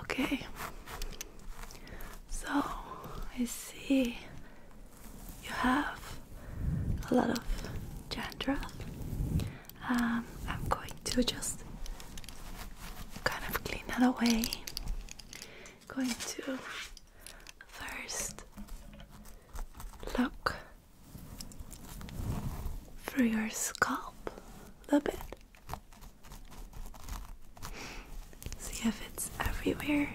Okay, so I see you have a lot of dandruff. Um, I'm going to just kind of clean that away. Going to first look for your scalp a little bit. See if it's everywhere.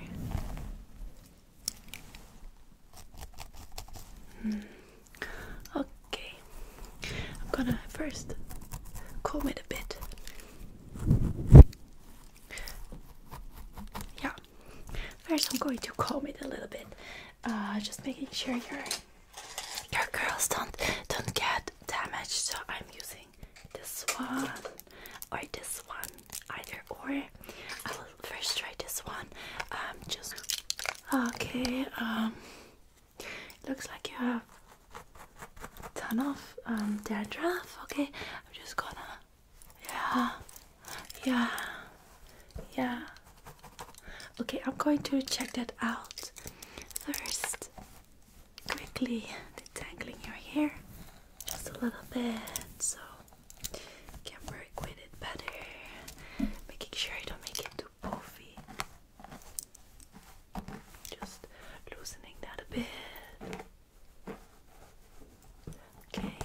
Hmm. Okay, I'm gonna first comb it a bit. Yeah, first I'm going to comb it a little bit, uh, just making sure you're your curls don't don't get damaged so I'm using this one or this one either or I will first try this one um just okay um looks like you have ton of um dandruff okay I'm just gonna yeah yeah yeah Okay, I'm going to check that out first. Quickly detangling your hair just a little bit so you can work with it better, making sure I don't make it too poofy. Just loosening that a bit. Okay.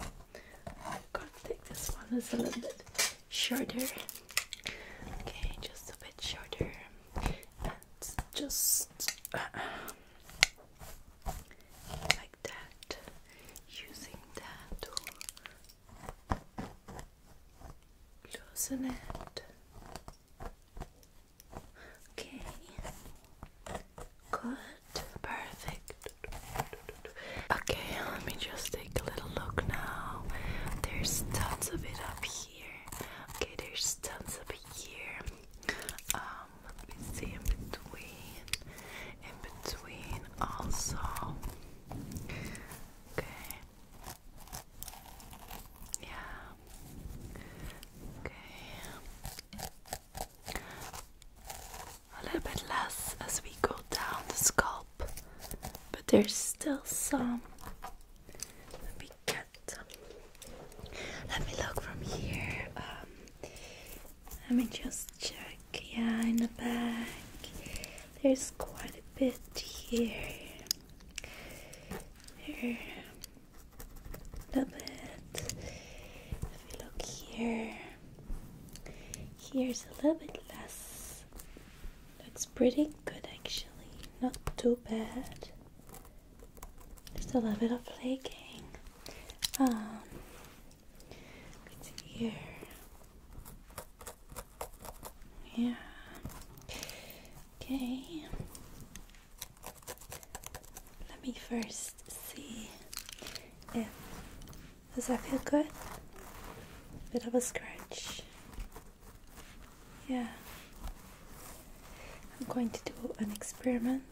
I'm gonna take this one is a little bit shorter. Okay, just a bit shorter. just uh, like that. Using that to loosen it. Okay. Good. Perfect. Okay, let me just take a little look now. There's tons of it up here. Okay, there's tons of up here. Um, let me see in between. In between also. Okay. Yeah. Okay a little bit less as we go down the scalp, but there's still some. Let me get Let me look from here. Um, let me just check. Yeah, in the back, there's quite a bit here. Here, a little bit. If we look here. Here's a little bit less. Looks pretty good actually, not too bad. Just a little bit of flaking. Um, here. Yeah. Okay. Let me first see if does that feel good? A Bit of a scratch. Yeah. I'm going to do an experiment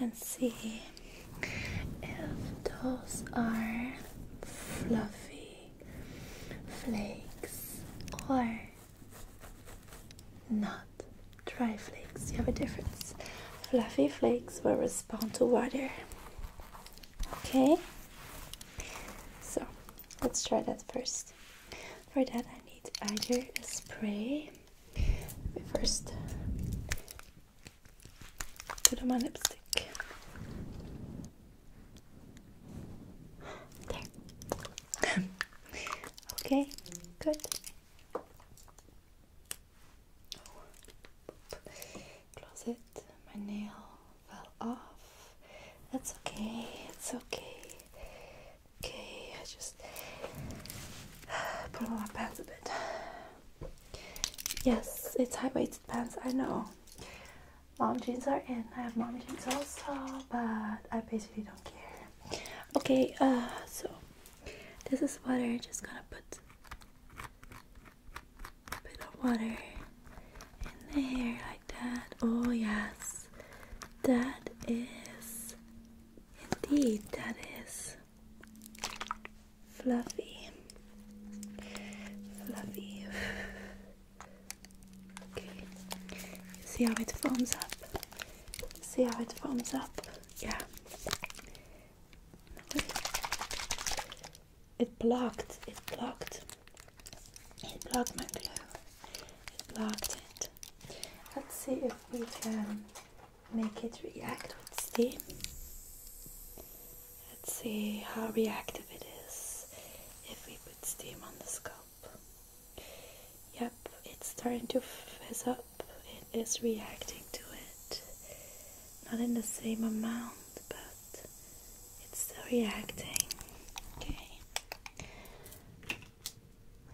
and see if those are fluffy flakes or not dry flakes. You have a difference fluffy flakes will respond to water. Okay, so let's try that first. For that, I need either a spray. We first put on lipstick. There. okay, good closet. My nail fell off. That's okay. It's okay. Okay, I just put on my pants a bit. Yes, it's high-waisted pants. I know. Mom jeans are in. I have mom jeans also, but I basically don't care. Okay, uh, so this is what I just gonna put a bit of water in the hair like that. Oh, yes, that is indeed, that is fluffy. Fluffy. Okay, see how it foams up. See how it foams up. Yeah, it blocked, it blocked, it blocked my glue, it blocked it. Let's see if we can make it react with steam. Let's see how reactive it is if we put steam on the scope. Yep, it's starting to fizz up it is reacting to it. Not in the same amount, but it's still reacting. Okay.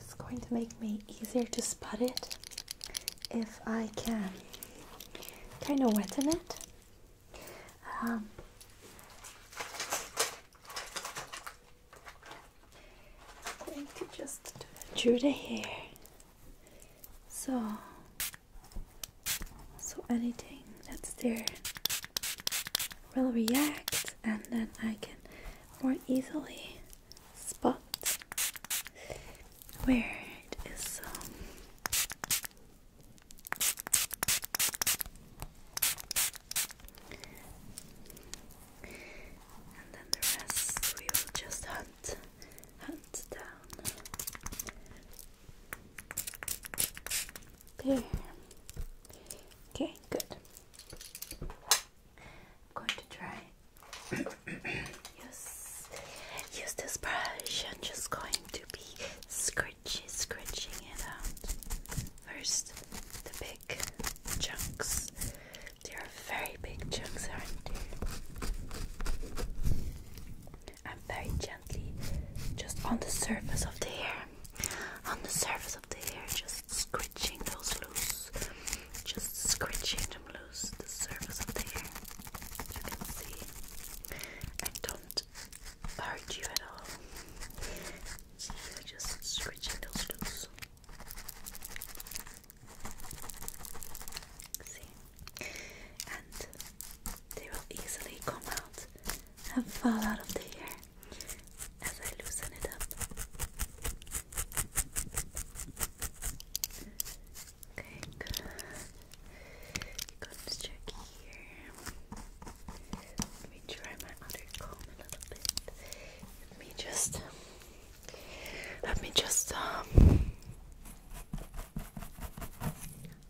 It's going to make me easier to spot it if I can kind of wetten it. Um, I'm going to just do the hair. So, so anything that's there will react, and then I can more easily spot where it is and then the rest we will just hunt, hunt down. There. Okay, good. I'm going to try. use, use this brush. I'm just going to be scratchy, scratching it out. First, the big chunks there are very big chunks, aren't they? very gently, just on the surface of the hair, on the surface of the hair, just scratching those loose, just scratching them loose, the surface of the hair. You can see, I don't hurt you at all. just scratching those loose. See? And they will easily come out and fall out of the hair as I loosen it up. Okay, Let's check here. Let me try my other comb a little bit. Let me just let me just um,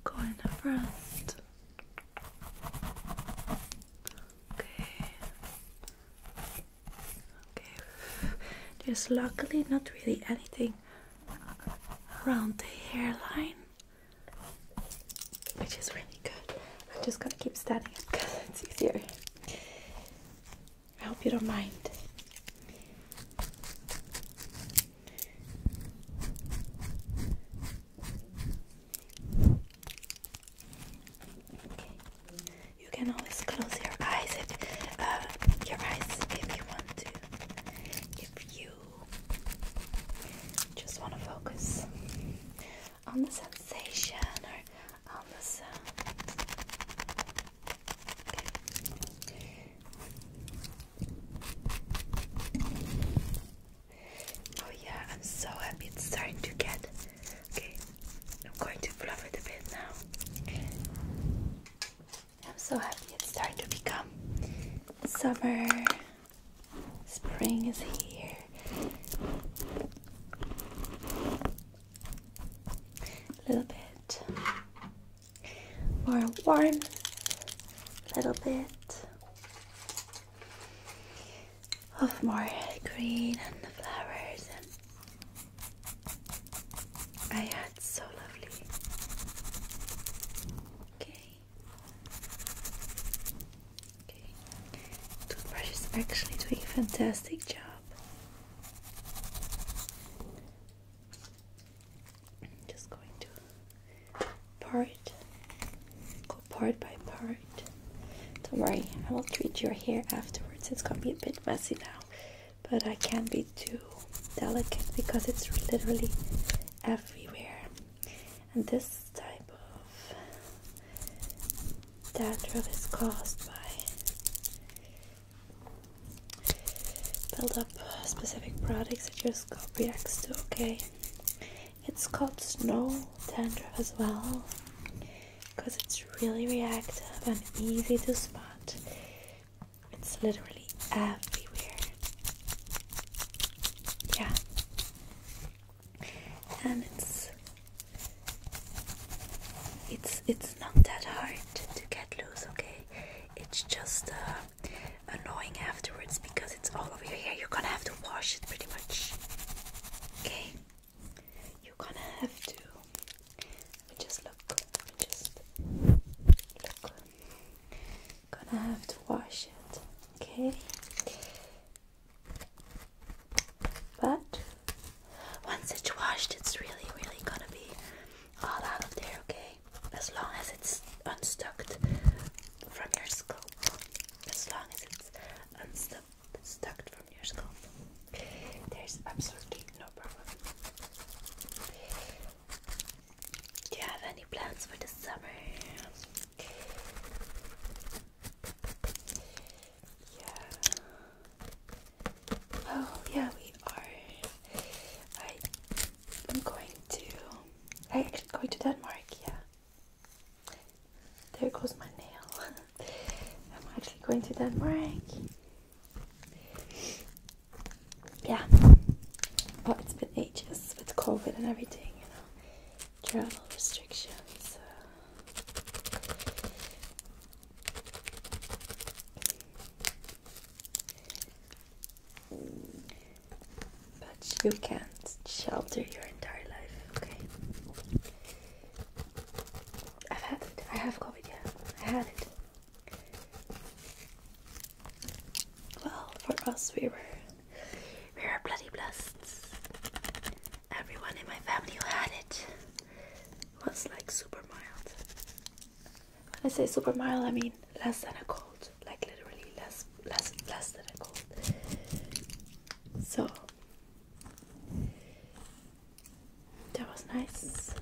go in the front. Okay. Okay. There's luckily not really anything around the hairline, which is really good. I'm just gonna keep standing because it's easier. I hope you don't mind. You can always close your eyes if uh, your eyes if you want to. If you just want to focus on the sensation or on the sound. Oh yeah, I'm so happy it's starting to get okay. I'm going to fluff it a bit now. I'm so happy it's starting to become summer. Spring is here a little bit more warm, a little bit of more green and the flowers. And I had so lovely. Okay. Okay. Toothbrush is actually doing a fantastic job. I'm just going to part, go part by part. Don't worry, I will treat your hair afterwards. It's gonna be a bit messy now, but I can't be too delicate because it's literally everywhere. And this type of that drop is caused by buildup up specific products that your scalp reacts okay? It's called snow dandruff as well because it's really reactive and easy to spot. It's literally everywhere. Yeah and um, it's it's it's not that hard to get loose okay it's just uh, annoying afterwards because it's all over your hair you're gonna have to wash it pretty much okay you're gonna have to let me just look let me just look gonna have to wash it okay but once it's washed, it's really, really gonna be all out of there, okay? As long as it's unstuck from your scalp. As long as it's unstuck from your scalp. There's absolutely no problem. Do you have any plans for the summer? Yeah. Oh, yeah, we are. I am going to. I actually going to Denmark. Yeah. There goes my nail. I'm actually going to Denmark. Yeah. Oh, it's been ages with COVID and everything, you know travel restrictions. But you can't shelter your entire life, okay? I've had it. I have COVID, yeah. I had it. Well, for us, we were we were bloody blessed everyone in my family who had it was like super mild. When I say super mild, I mean less than a cold, like literally less, less, less than a cold. So that was nice.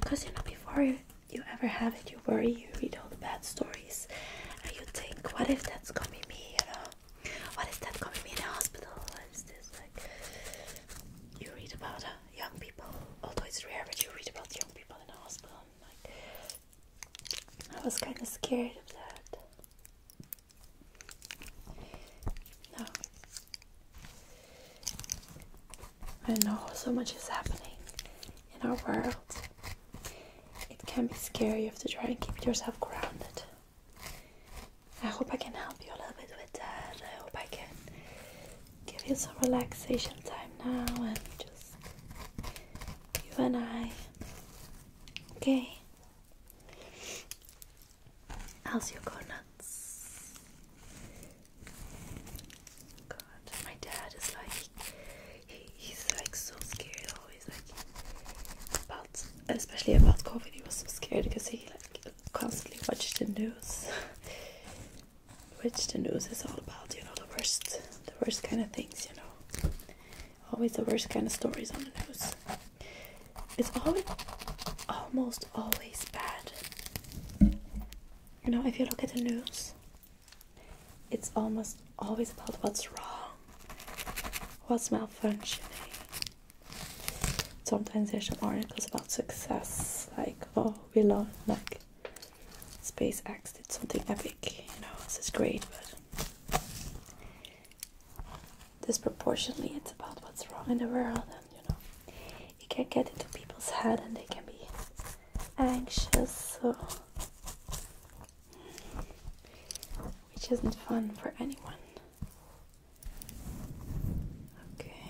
Because you know, before you, you ever have it, you worry, you read all the bad stories, and you think, what if that's gonna be me, you know? What is that coming me in a hospital? What is this like? You read about uh, young people, although it's rare, but you read about young people in a hospital. like, I was kind of scared of that. No. I know so much is happening in our world. It can be scary. You have to try and keep yourself grounded. I hope I can help you a little bit with that. I hope I can give you some relaxation time now and just you and I. Okay. How's your donuts? God, my dad is like he's like so scared always like about especially about COVID he was so scared because he like constantly watched the news which the news is all about you know the worst the worst kind of things you know always the worst kind of stories on the news it's always almost always bad you know if you look at the news it's almost always about what's wrong, what's malfunctioning. Sometimes there's some articles about success, like, oh, we love like, SpaceX did something epic, you know, this is great, but disproportionately it's about what's wrong in the world, and you know, it can get into people's head and they can be anxious, so which isn't fun for anyone. Okay.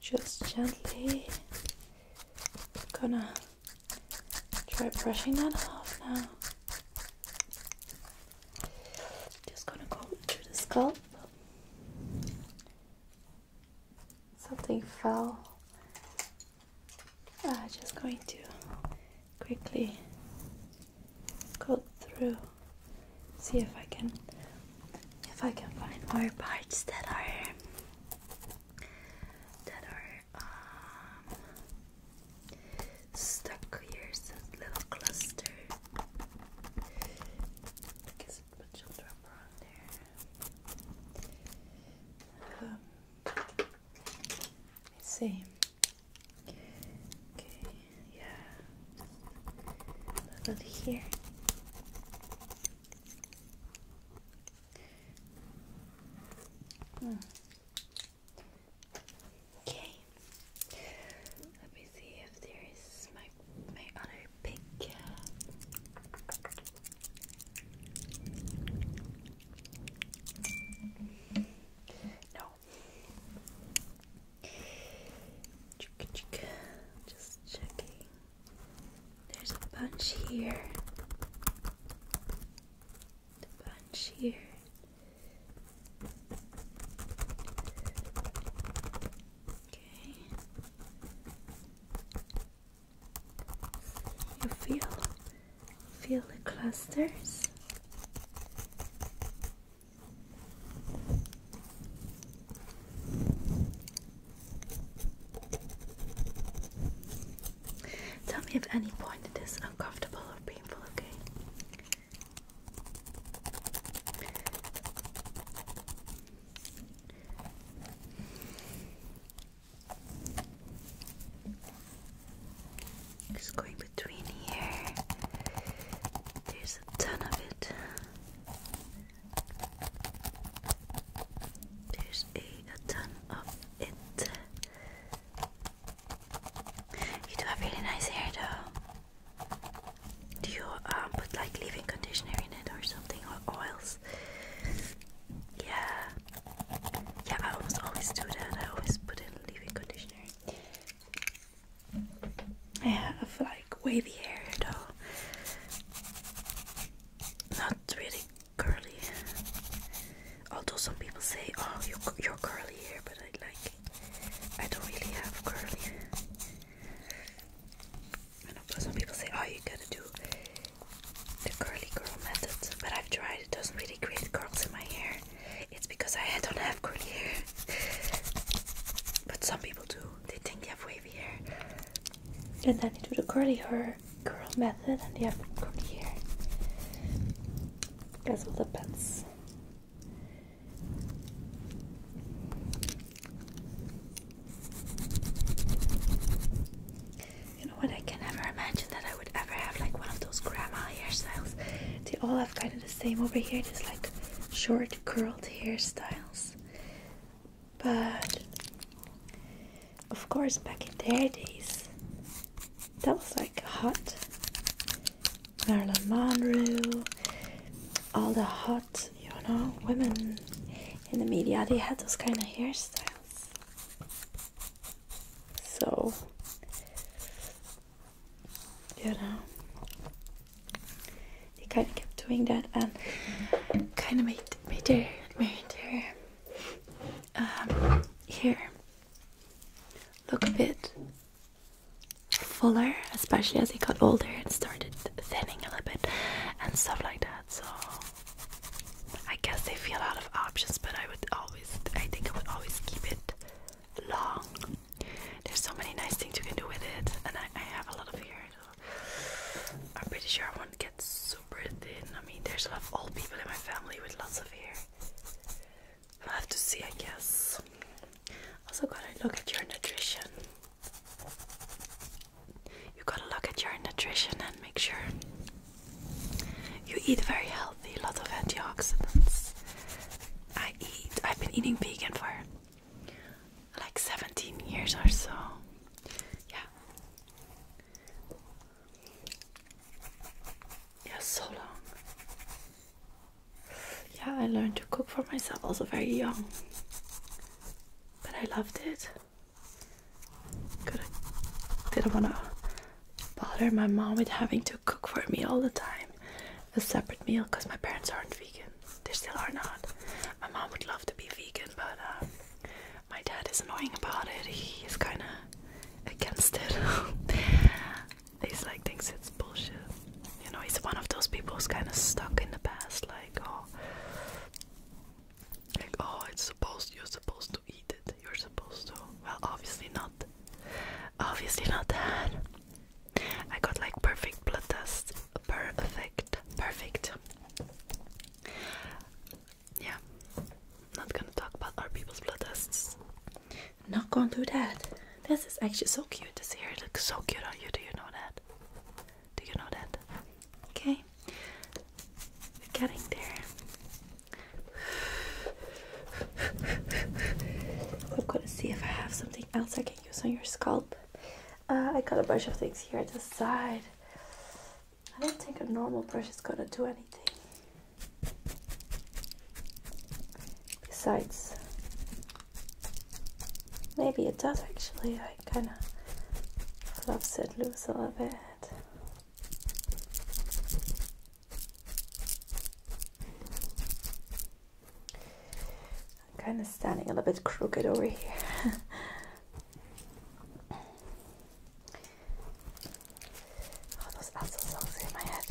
Just gently gonna try brushing that off now. Just gonna go through the scalp something fell. I'm ah, just going to quickly go through, see if I can if I can find more parts that are that are um, stuck here. This little cluster. Because it put children on there. Um, let Okay, yeah. about here. Hmm. Okay. Let me see if there is my my other pink No. Chica, chica. Just checking. There's a bunch here. A bunch here. Okay. You feel feel the clusters. Tell me if any point it is uncomfortable or painful, okay? Just going between here. There's a ton of it. There's a, ton of it. You do have really nice hair though. Do you um, put like leave-in conditioner in it or something or oils? Yeah, yeah. I almost always do that. I always put in leave-in conditioner. I have like wavy hair though, not really curly. Although some people say, "Oh, you you're curly hair," but I like I don't really have curly. I know some people say, oh, you gotta do the curly girl method, but I've tried, it doesn't really create curls in my hair. It's because I don't have curly hair. but some people do, they think they have wavy hair. And then they do the curly hair curl method and they have curly hair. That's all depends. You know what? I can never imagine that I would ever have like one of those grandma hairstyles. They all have kind of the same over here, just like short curled hairstyles. But of course, back in their days, that was like hot. Marilyn Monroe, all the hot you know women in the media they had those kind of hairstyles so you know they kind of kept doing that and kind of made made their made their um, hair look a bit fuller, especially as he got older and started thinning a little bit and stuff like that. So I guess they feel out of options, but I would always, I think I would always keep it long. There's so many nice things you can do with it, and I, have a lot of hair. I'm pretty sure I won't get super thin. I mean, there's a lot of old people in my family with lots of hair. I'll have to see, I guess. Also gotta look at your nutrition. You gotta look at your nutrition and make sure you eat very healthy, a lot of antioxidants. I eat I've been eating vegan for like 17 years or so. Yeah. Yeah, so long yeah, I learned to cook for myself also very young, but I loved it. didn't want to bother my mom with having to cook for me all the time, a separate meal, because my parents aren't vegan. They still are not. My mom would love to be vegan, but uh, my dad is annoying about it. He is kind of against it. He's like thinks it's bullshit you know, he's one of those people who's kind of stuck in the past, like, oh, like, oh, it's supposed, you're supposed to eat it, you're supposed to. Well, obviously not. Obviously not that. I got like perfect blood test. Perfect. Perfect. Yeah. Not gonna talk about our people's blood tests. Not gonna do that. This is actually so cute. This hair looks so cute on you. Do you know that? Do you know that? Okay. We're getting there. I'm gonna see if I have something else I can use on your scalp. Uh, I got a bunch of things here at the side. I don't think a normal brush is gonna do anything. Besides, maybe it does actually. I kind of love it loose a little bit. I'm kind of standing a little bit crooked over here. Oh, those assholes in my head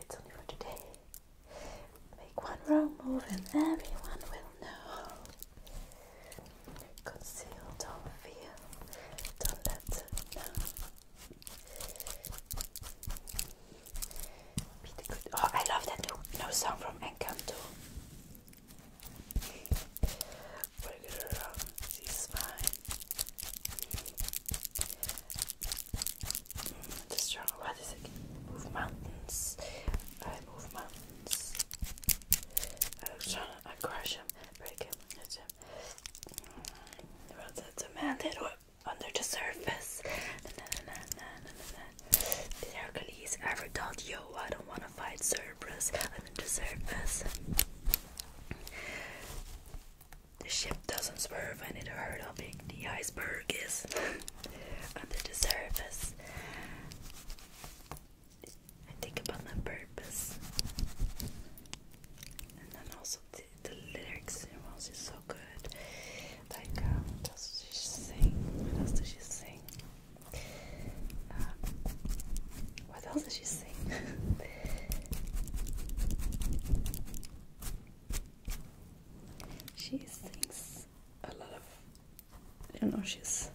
it's only for today. Make one wrong move and everyone will know. Conceal, don't feel, don't let them know. Oh, I love that new, new song from Encanto. Bring it around, she's fine. Mm, it's strong. What is it? Move mountains. I move mountains. I'm strong. I crush him, break him, hit him. Mm, well, that's a man that under the surface. Na, na, na, na, na, na, na. Did Hercules ever told you, oh, I don't want to fight Cerberus under the surface? The ship doesn't swerve and it hurt how big the iceberg is under the surface. I think about my purpose. And then also the, lyrics in is so good. Like, um, what else does she sing? What else does she sing? Um, what else does she sing? She thinks a lot of, you know, she's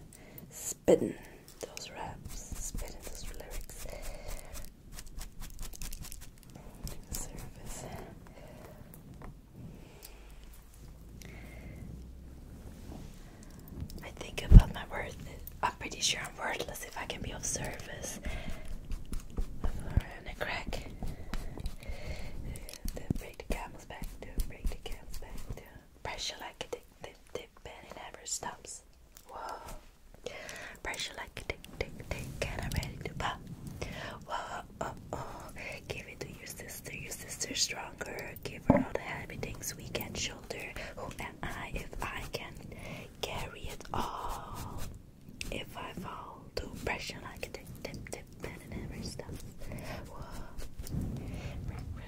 spitting those raps, spitting those lyrics. Service. I think about my worth. I'm pretty sure I'm worthless if I can be of service and a crack. Then break the camel's back down, break the camel's back down. Pressure like a tick, tick, tick, and it never stops. Whoa. Pressure like a tick, tick, tick, and I'm ready to pop. Whoa, oh, oh. Give it to your sister, your sister's stronger. Give her all the heavy things we can shoulder. Who am I if I can carry it all? If I fall to oppression, I can take tip, tip, and every stuff. Whoa.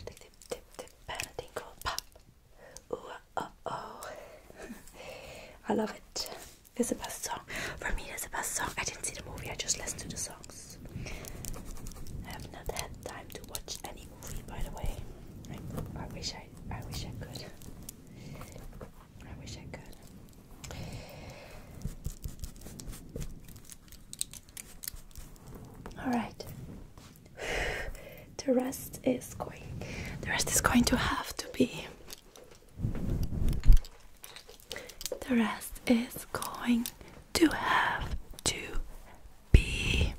Tip, tip, tip, and a tinkle, pop. Ooh, uh, uh oh. I love it. It's the best song. For me, it's the best song. I didn't see the movie, I just listened to the songs. I have not had time to watch any movie, by the way. I wish I, I wish I could. I wish I could. All right. the rest is going. The rest is going to have to be. The rest is going to have to be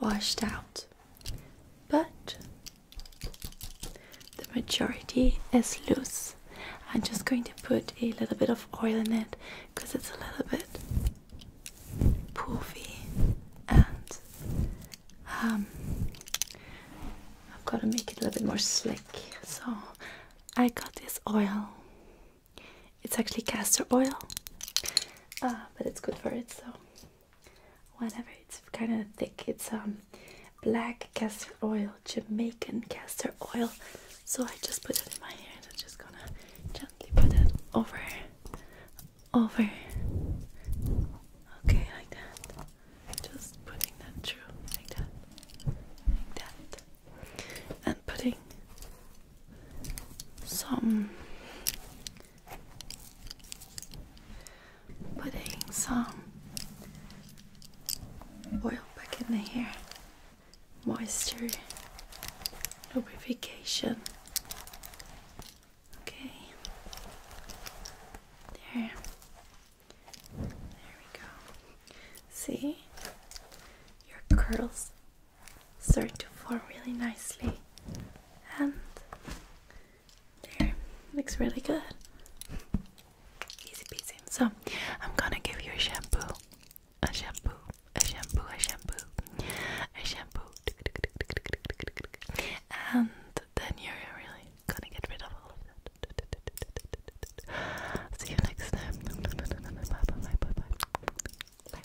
washed out. But the majority is loose. I'm just going to put a little bit of oil in it because it's a little bit poofy and um, I've got to make it a little bit more slick. So I got this oil. It's actually castor oil, uh, but it's good for it. So Whenever It's kind of thick. It's um black castor oil, Jamaican castor oil. So I just put it in my hair. I'm just gonna gently put it over, over. Okay, like that. Just putting that through, like that, like that, and putting some Putting some oil back in the hair, moisture, lubrication. Okay, there, there we go. See, your curls start to form really nicely, and there, looks really good. Easy peasy. So, I'm gonna give you a shampoo. A shampoo, a shampoo, a shampoo, a shampoo. And then you're really gonna get rid of all of that. See you next time. Bye bye. Bye bye. Bye bye.